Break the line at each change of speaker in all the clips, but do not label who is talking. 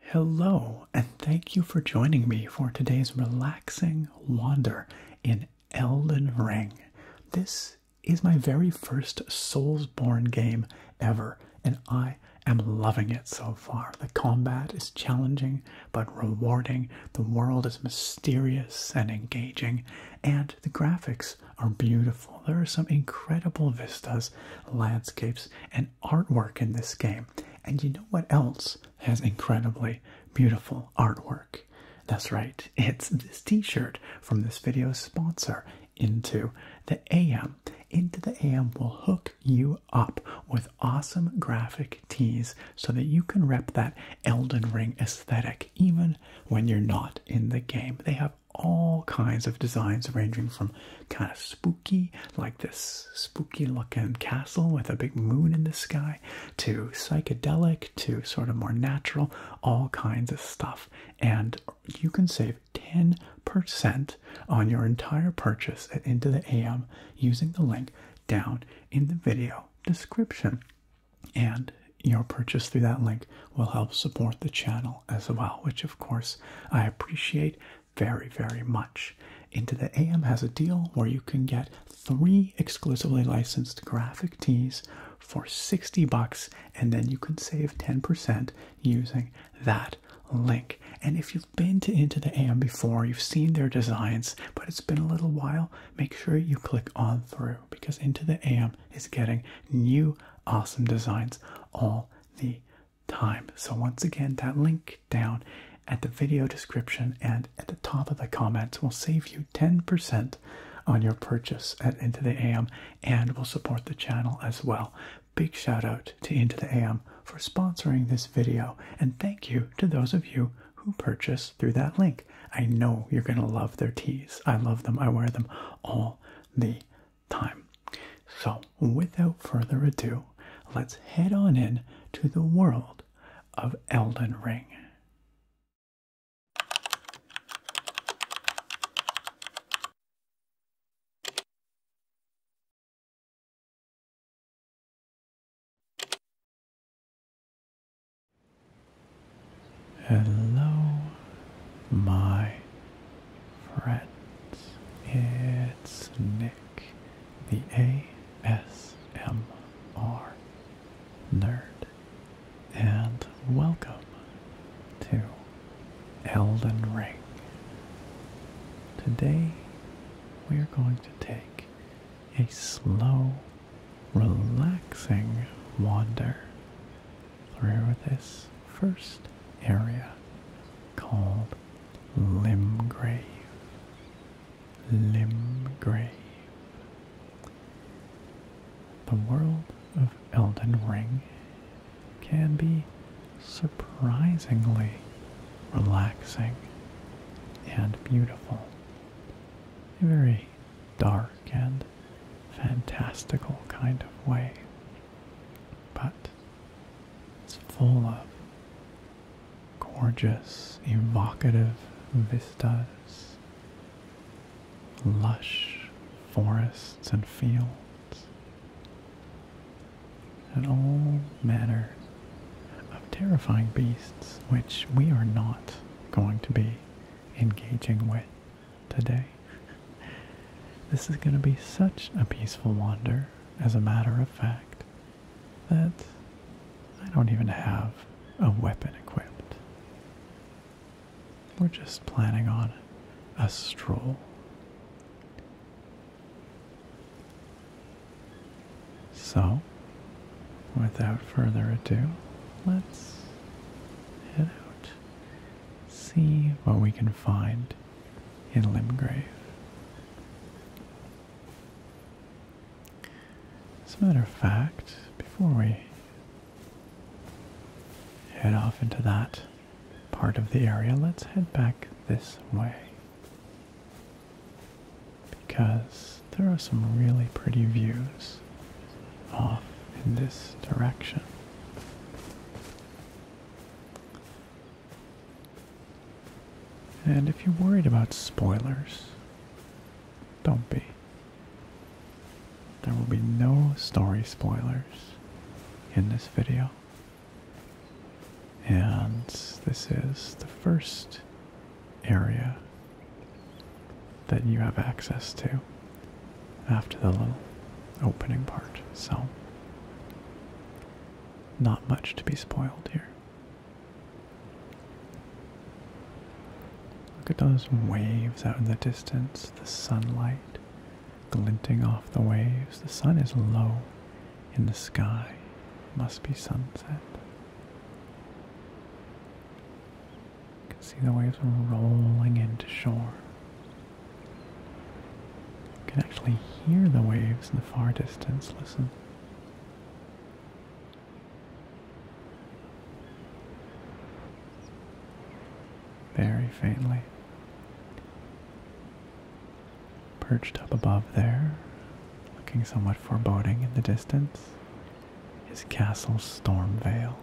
Hello, and thank you for joining me for today's relaxing wander in Elden Ring. This is my very first Soulsborne game ever, and I am loving it so far. The combat is challenging but rewarding, the world is mysterious and engaging, and the graphics are beautiful. There are some incredible vistas, landscapes and artwork in this game. And you know what else has incredibly beautiful artwork? That's right, it's this t shirt from this video's sponsor, Into the AM. Into the AM will hook you up with awesome graphic tees so that you can rep that Elden Ring aesthetic even when you're not in the game. They have all kinds of designs ranging from kind of spooky, like this spooky looking castle with a big moon in the sky, to psychedelic, to sort of more natural, all kinds of stuff. And you can save 10% on your entire purchase at Into the AM using the link down in the video description. And your purchase through that link will help support the channel as well, which of course I appreciate very, very much. Into the AM has a deal where you can get three exclusively licensed graphic tees for 60 bucks, and then you can save 10% using that link. And if you've been to Into the AM before, you've seen their designs, but it's been a little while, make sure you click on through because Into the AM is getting new awesome designs all the time. So, once again, that link down at the video description and at the top of the comments will save you 10% on your purchase at Into the AM and will support the channel as well. Big shout out to Into the AM for sponsoring this video, and thank you to those of you who purchase through that link. I know you're going to love their teas. I love them, I wear them all the time. So, without further ado, let's head on in to the world of Elden Ring. Hello, my friends. It's Nick, the ASMR nerd, and welcome to Elden Ring. Today we are going to take a slow, relaxing wander through this first area called Limgrave, Limgrave. The world of Elden Ring can be surprisingly relaxing and beautiful. A very dark and fantastical kind of way. But it's full of gorgeous, evocative vistas, lush forests and fields, and all manner of terrifying beasts which we are not going to be engaging with today. This is going to be such a peaceful wander as a matter of fact, that I don't even have a weapon equipped. We're just planning on a stroll. So, without further ado, let's head out, see what we can find in Limgrave. As a matter of fact, before we head off into that part of the area, let's head back this way. Because there are some really pretty views off in this direction. And if you're worried about spoilers, don't be. There will be no story spoilers in this video. And this is the first area that you have access to after the little opening part. So not much to be spoiled here. Look at those waves out in the distance, the sunlight glinting off the waves. The sun is low in the sky. Must be sunset. You can see the waves rolling into shore. You can actually hear the waves in the far distance. Listen. Very faintly. Perched up above there, looking somewhat foreboding in the distance, is Castle Stormvale.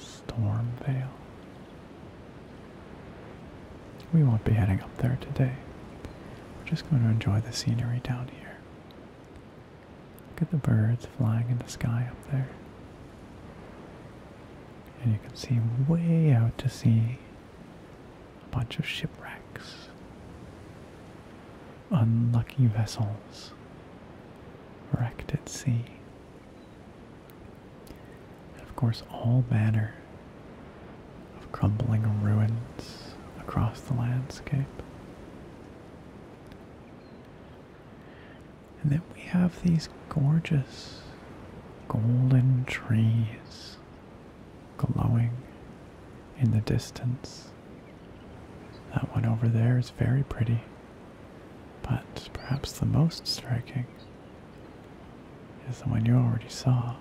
Stormvale. We won't be heading up there today. We're just going to enjoy the scenery down here. Look at the birds flying in the sky up there. And you can see way out to sea a bunch of shipwrecks, unlucky vessels wrecked at sea. And of course, all manner of crumbling ruins across the landscape. And then we have these gorgeous golden trees glowing in the distance. That one over there is very pretty, but perhaps the most striking is the one you already saw.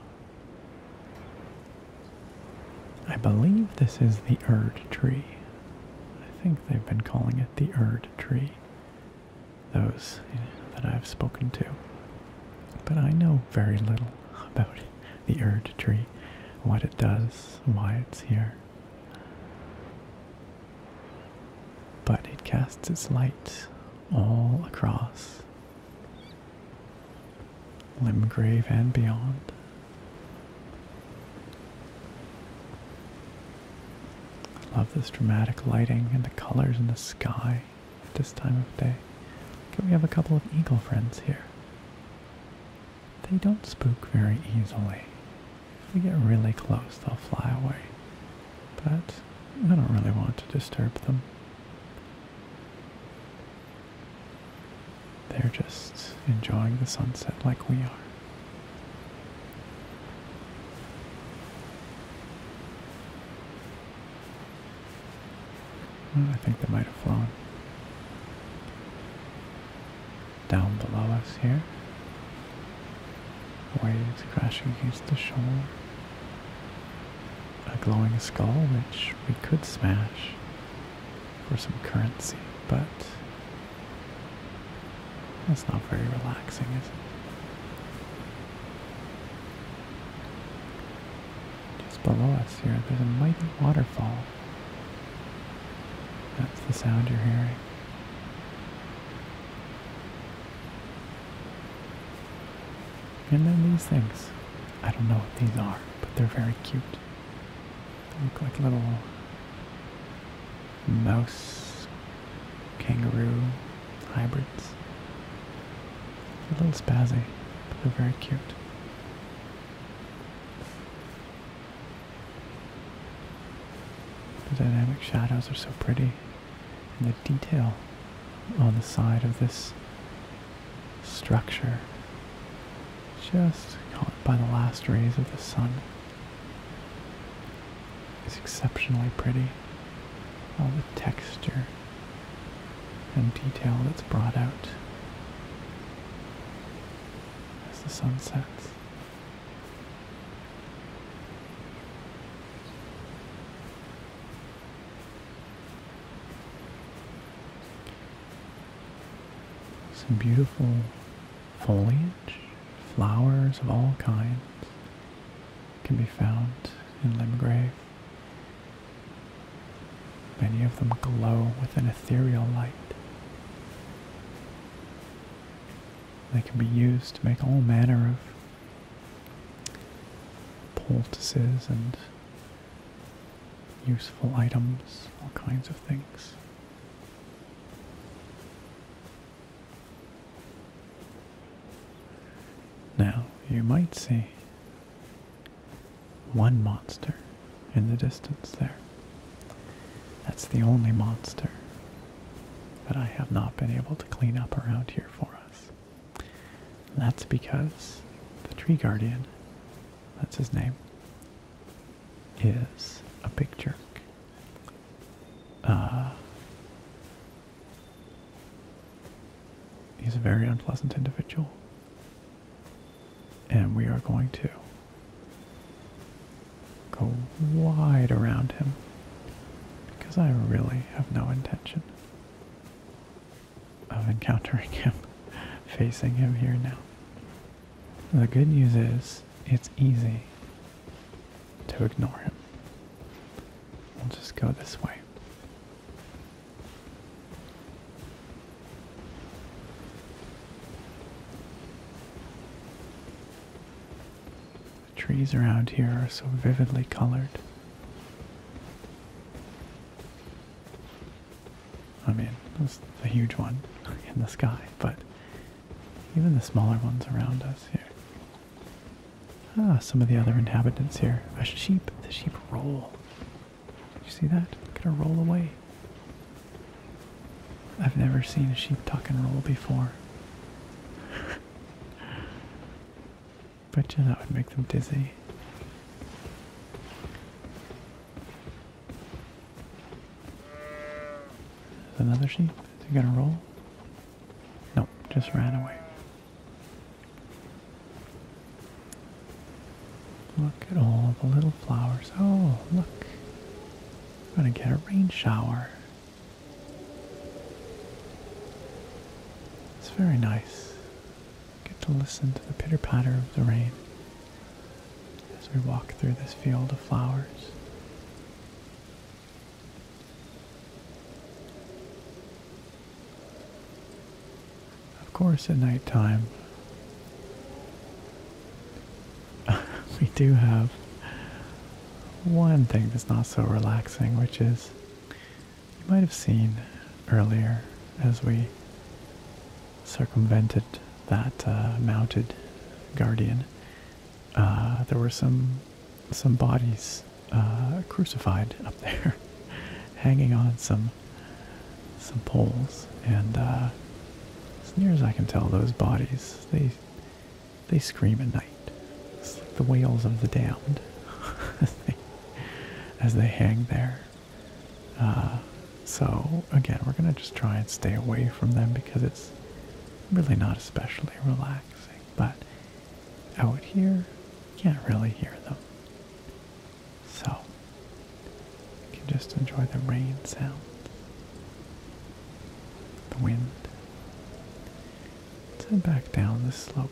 I believe this is the Erd tree. I think they've been calling it the Erd tree. Those that I've spoken to. But I know very little about the Erd tree, what it does, why it's here but it casts its light all across Limgrave and beyond. I love this dramatic lighting and the colors in the sky at this time of day. we have a couple of eagle friends here. They don't spook very easily. If we get really close, they'll fly away. But I don't really want to disturb them. They're just enjoying the sunset like we are. I think they might have flown. Down below us here waves crashing against the shore. A glowing skull, which we could smash for some currency, but that's not very relaxing, is it? Just below us here, there's a mighty waterfall. That's the sound you're hearing. And then these things. I don't know what these are, but they're very cute. They look like little mouse, kangaroo hybrids. a little spazzy, but they're very cute. The dynamic shadows are so pretty and the detail on the side of this structure just caught by the last rays of the sun is exceptionally pretty. All the texture and detail that's brought out as the sun sets. Some beautiful foliage, flowers of all kinds can be found in Limgrave. Many of them glow with an ethereal light. They can be used to make all manner of poultices and useful items, all kinds of things. Now, you might see one monster in the distance there. That's the only monster that I have not been able to clean up around here for us. And that's because the tree guardian, that's his name, is a big jerk. Uh, he's a very unpleasant individual. And we are going to go wide around him because I really have no intention of encountering him, facing him here now. The good news is it's easy to ignore him. We'll just go this way. The trees around here are so vividly colored. I mean, that's a huge one in the sky, but even the smaller ones around us here. Ah, some of the other inhabitants here. A sheep. The sheep roll. Did you see that? Look at her roll away. I've never seen a sheep tuck and roll before. Betcha that would make them dizzy. There's another sheep. Is he gonna roll? Nope, just ran away. Look at all the little flowers. Oh, look. I'm gonna get a rain shower. It's very nice. Get to listen to the pitter patter of the rain as we walk through this field of flowers. Of course, at night time, we do have one thing that's not so relaxing, which is you might have seen earlier as we circumvented that uh, mounted guardian. Uh, there were some some bodies uh, crucified up there, hanging on some some poles, and uh, as near as I can tell, those bodies they they scream at night. It's like the wails of the damned as, they, hang there. Uh, so, again, we're going to just try and stay away from them because it's really not especially relaxing. But out here, you can't really hear them. So, you can just enjoy the rain sound, the wind. let head back down the slope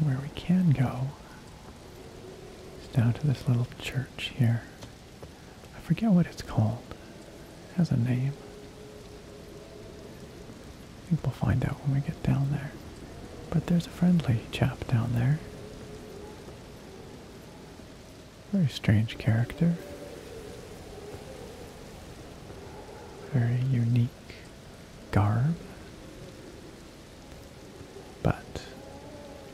where we can go is down to this little church here. I forget what it's called. It has a name. I think we'll find out when we get down there. But there's a friendly chap down there. Very strange character. Very unique garb. But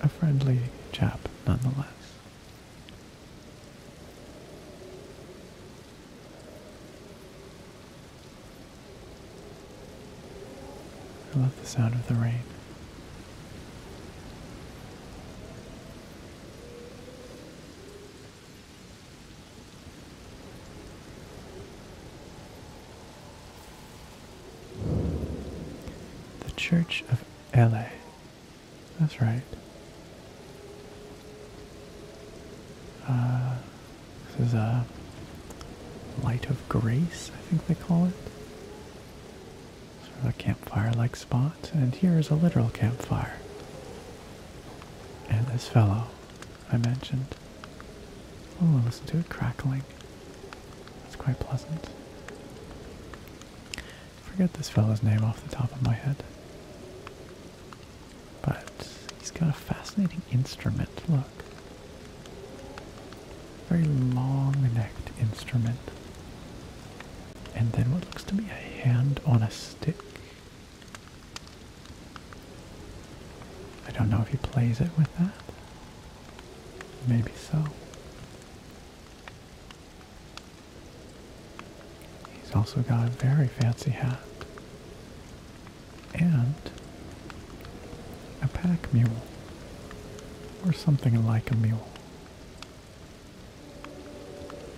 a friendly chap nonetheless. I love the sound of the rain. The Church of LA. That's right. Uh, this is a uh, light of grace, I think they call it sort of a campfire-like spot, and here is a literal campfire. And this fellow I mentioned. Oh, listen to it crackling. That's quite pleasant. Forget this fellow's name off the top of my head. But he's got a fascinating instrument, look. Very long-necked instrument. And then what looks to be a hand on a stick. I don't know if he plays it with that. Maybe so. He's also got a very fancy hat. And a pack mule. Or something like a mule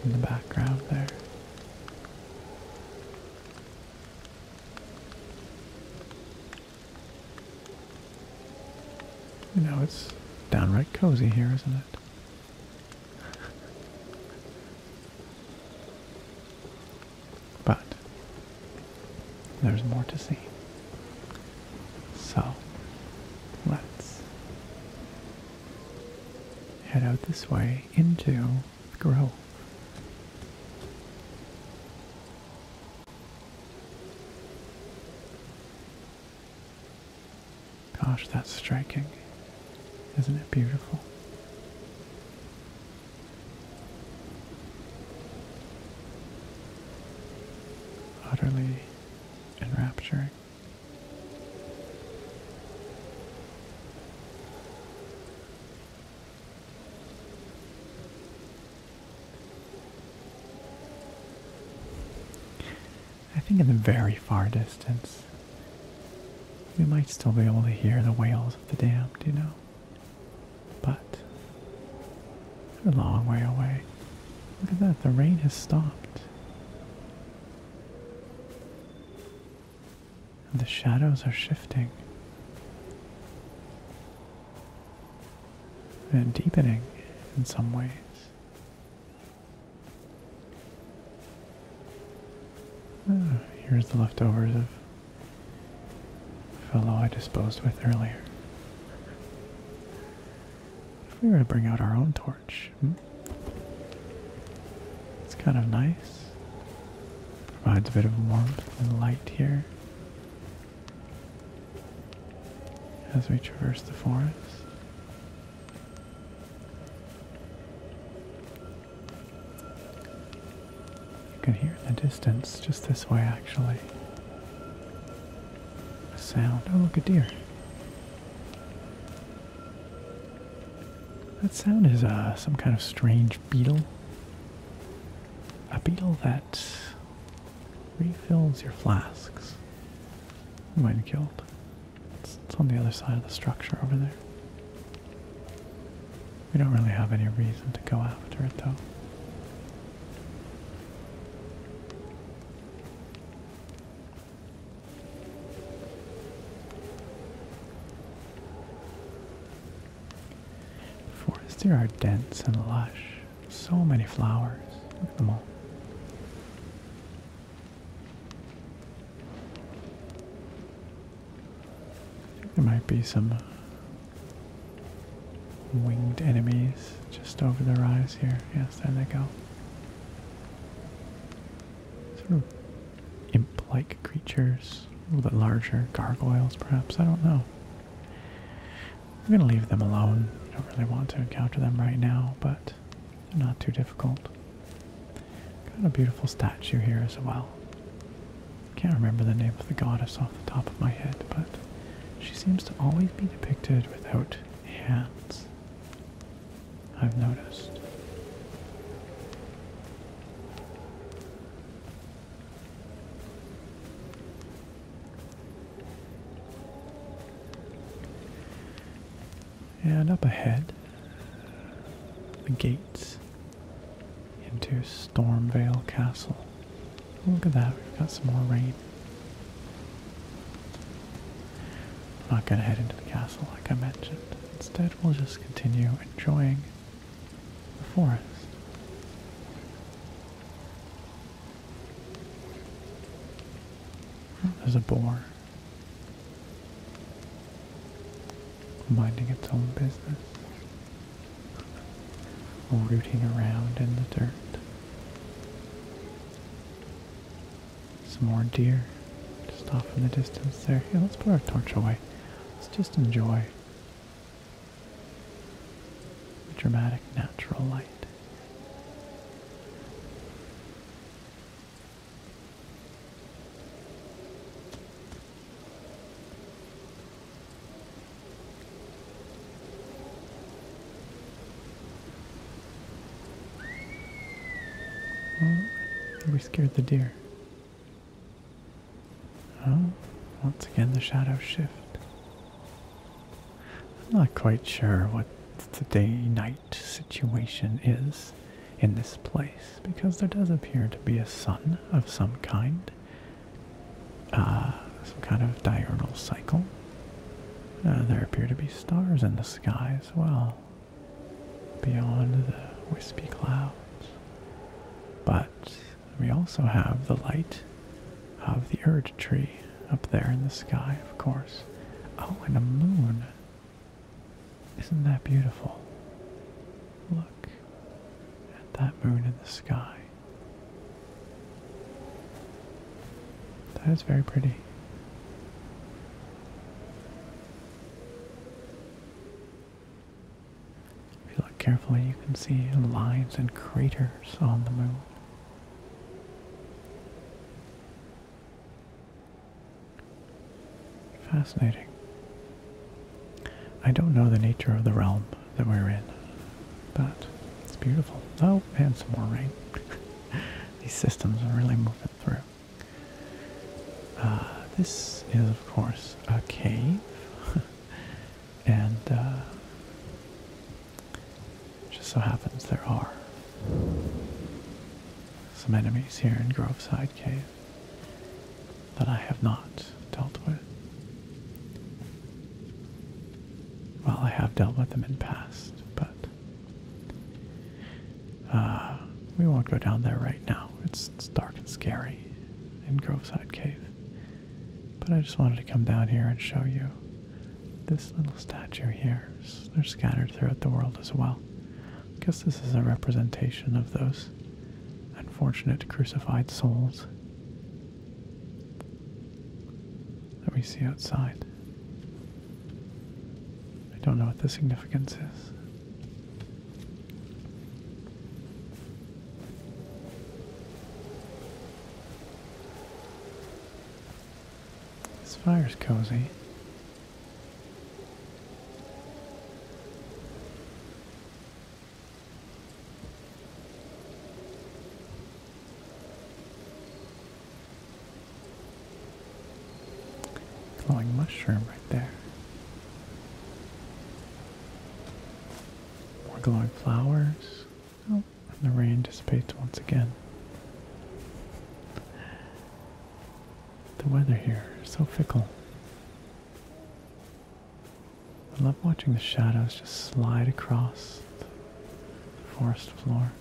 in the background there. You know, it's downright cozy here, isn't it? But there's more to see. So let's head out this way into the grove. Gosh, that's striking. Isn't it beautiful? Utterly enrapturing. I think in the very far distance, we might still be able to hear the wails of the damned, you know? But they're a long way away. Look at that, the rain has stopped. The shadows are shifting and deepening in some ways. Ah, here's the leftovers of fellow I disposed with earlier. If we were to bring out our own torch, Hmm. It's kind of nice. Provides a bit of warmth and light here as we traverse the forest. You can hear in the distance, just this way actually, a sound. Oh, look, a deer. That sound is uh, some kind of strange beetle. A beetle that refills your flasks. You might have killed. It's, it's on the other side of the structure over there. We don't really have any reason to go after it though. Forests are dense and lush. So many flowers. Look at them all. There might be some uh, winged enemies just over the rise here. Yes, there they go sort of imp-like creatures, a little bit larger, gargoyles perhaps, I don't know. I'm going to leave them alone. I don't really want to encounter them right now, but they're not too difficult. Got a beautiful statue here as well. Can't remember the name of the goddess off the top of my head, but she seems to always be depicted without hands. I've noticed. And up ahead, the gates into Stormvale Castle. Look at that, we've got some more rain. I'm not going to head into the castle like I mentioned. Instead, we'll just continue enjoying the forest. There's a boar minding its own business, rooting around in the dirt. Some more deer just off in the distance there. Here, let's put our torch away. Let's just enjoy the dramatic natural light we scared the deer. Oh, once again the shadows shift. I'm not quite sure what the day-night situation is in this place because there does appear to be a sun of some kind. Uh, some kind of diurnal cycle. Uh, there appear to be stars in the sky as well beyond the wispy clouds. But we also have the light of the Erd tree up there in the sky, of course. Oh, and a moon. Isn't that beautiful? Look at that moon in the sky. That is very pretty. If you look carefully, you can see lines and craters on the moon. Fascinating. I don't know the nature of the realm that we're in, but it's beautiful. Oh, and some more rain. These systems are really moving through. Uh, this is, of course, a cave, and uh, just so happens there are some enemies here in Groveside Cave that I have not dealt with. Well, I have dealt with them in past, but uh, we won't go down there right now. it's dark and scary in Groveside Cave. But I just wanted to come down here and show you this little statue here. They're scattered throughout the world as well. I guess this is a representation of those unfortunate crucified souls that we see outside. I don't know what the significance is. This fire's cozy. Glowing mushroom right there. More glowing flowers. Oh, and the rain dissipates once again. The weather here is so fickle. I love watching the shadows just slide across the forest floor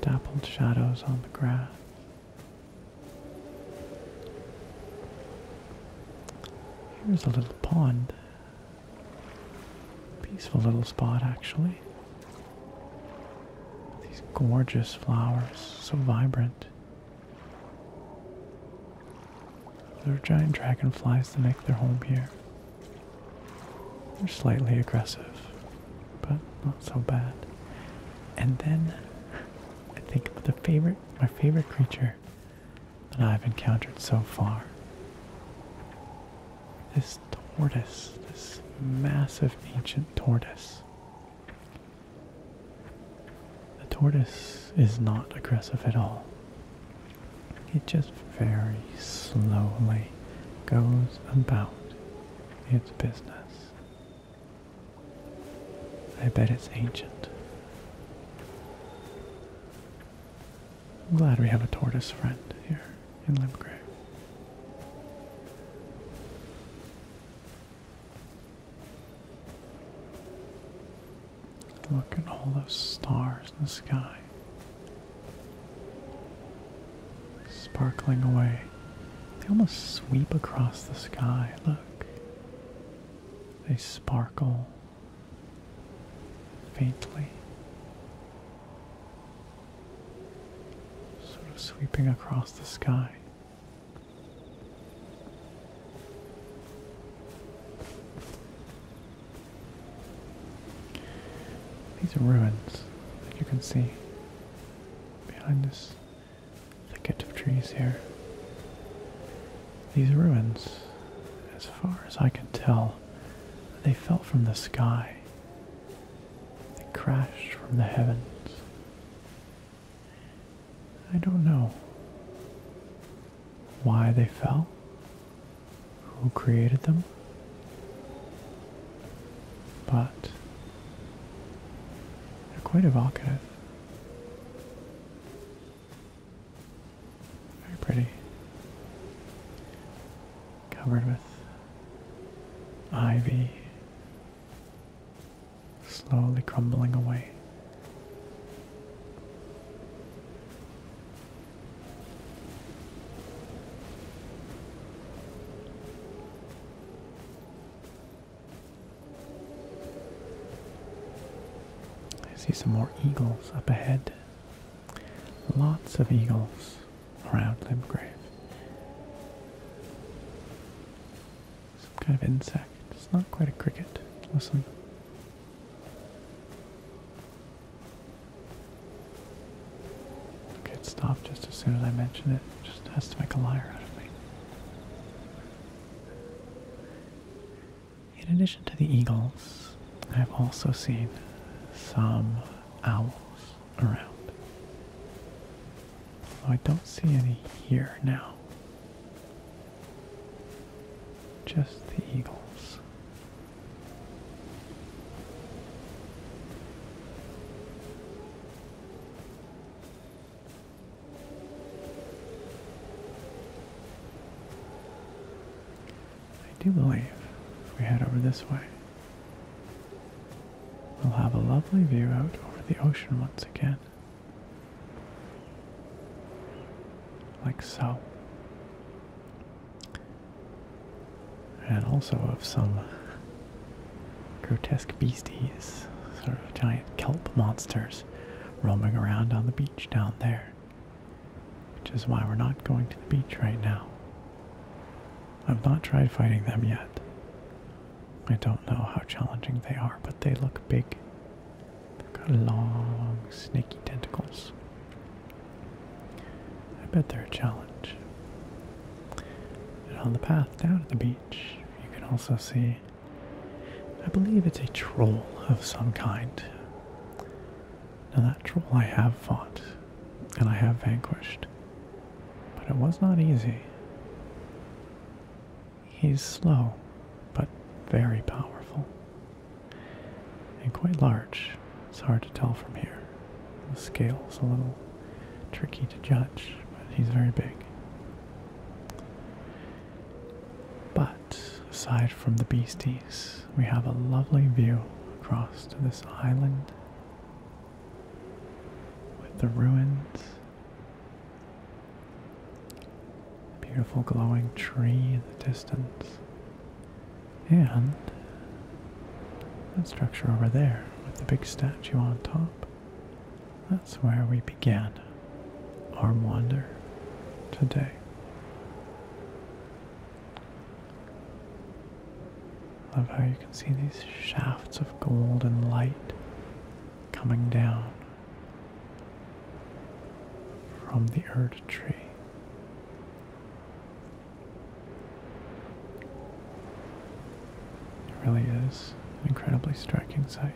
dappled shadows on the grass. Here's a little pond. Peaceful little spot, actually. These gorgeous flowers, so vibrant. There are giant dragonflies that make their home here. They're slightly aggressive, but not so bad. And then I think the favorite, my favorite creature that I've encountered so far. This tortoise, this massive ancient tortoise. The tortoise is not aggressive at all. It just very slowly goes about its business. I bet it's ancient. I'm glad we have a tortoise friend here in Limgrave. Look at all those stars in the sky. Sparkling away. They almost sweep across the sky. Look. They sparkle faintly. Sort of sweeping across the sky. These are ruins that you can see behind this thicket of trees here. These ruins, as far as I can tell, they fell from the sky. They crashed from the heavens. I don't know why they fell who created them, but they're quite evocative. Very pretty. Covered with ivy, slowly crumbling away. I see some more eagles up ahead. Lots of eagles around Limgrave. Some kind of insect. It's not quite a cricket. Listen. Okay, it stopped just as soon as I mention it. Just has to make a liar out of me. In addition to the eagles, I've also seen some owls around. I don't see any here now. Just the eagles. I do believe if we head over this way, we'll have a lovely view out over the ocean once again. Like so and also of some grotesque beasties, sort of giant kelp monsters roaming around on the beach down there, which is why we're not going to the beach right now. I've not tried fighting them yet. I don't know how challenging they are, but they look big. They've got long, snaky tentacles. I bet they're a challenge. And on the path down to the beach, you can also see, I believe it's a troll of some kind. Now, that troll I have fought and I have vanquished, but it was not easy. He's slow, but very powerful and quite large. It's hard to tell from here. The scale's a little tricky to judge, but he's very big. But aside from the beasties, we have a lovely view across to this island with the ruins, beautiful glowing tree in the distance, and that structure over there with the big statue on top, that's where we began our wander today. Love how you can see these shafts of golden light coming down from the earth tree. It really is an incredibly striking sight.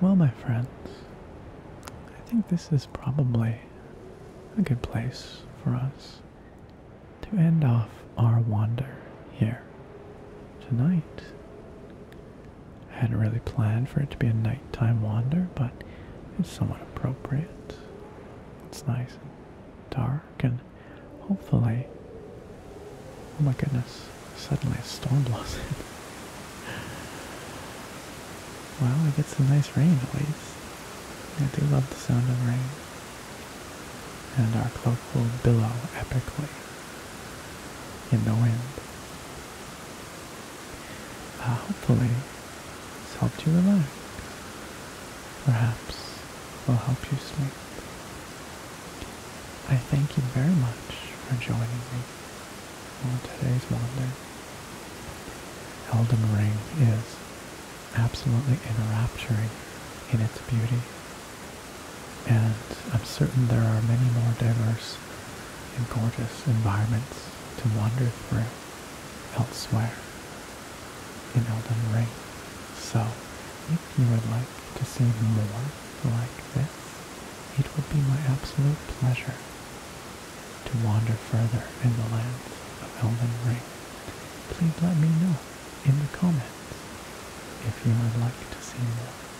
Well, my friends, I think this is probably a good place for us to end off our wander here tonight. I hadn't really planned for it to be a nighttime wander, but it's somewhat appropriate. It's nice and dark, and hopefully. Oh my goodness, suddenly a storm blows in. well, we get some nice rain at least. I do love the sound of rain. And our cloak will billow epically in the wind. Uh, hopefully, it's helped you relax. Perhaps will help you sleep. I thank you very much for joining me on today's wander. Elden Ring is absolutely enrapturing in its beauty, and I'm certain there are many more diverse in gorgeous environments to wander through elsewhere in Elden Ring. So, if you would like to see more like this, it would be my absolute pleasure to wander further in the lands of Elden Ring. Please let me know in the comments if you would like to see more.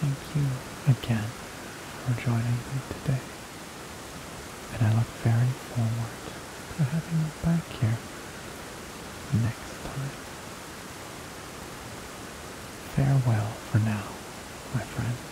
Thank you again for joining me today, and I look very forward to having you back here next time. Farewell for now, my friends.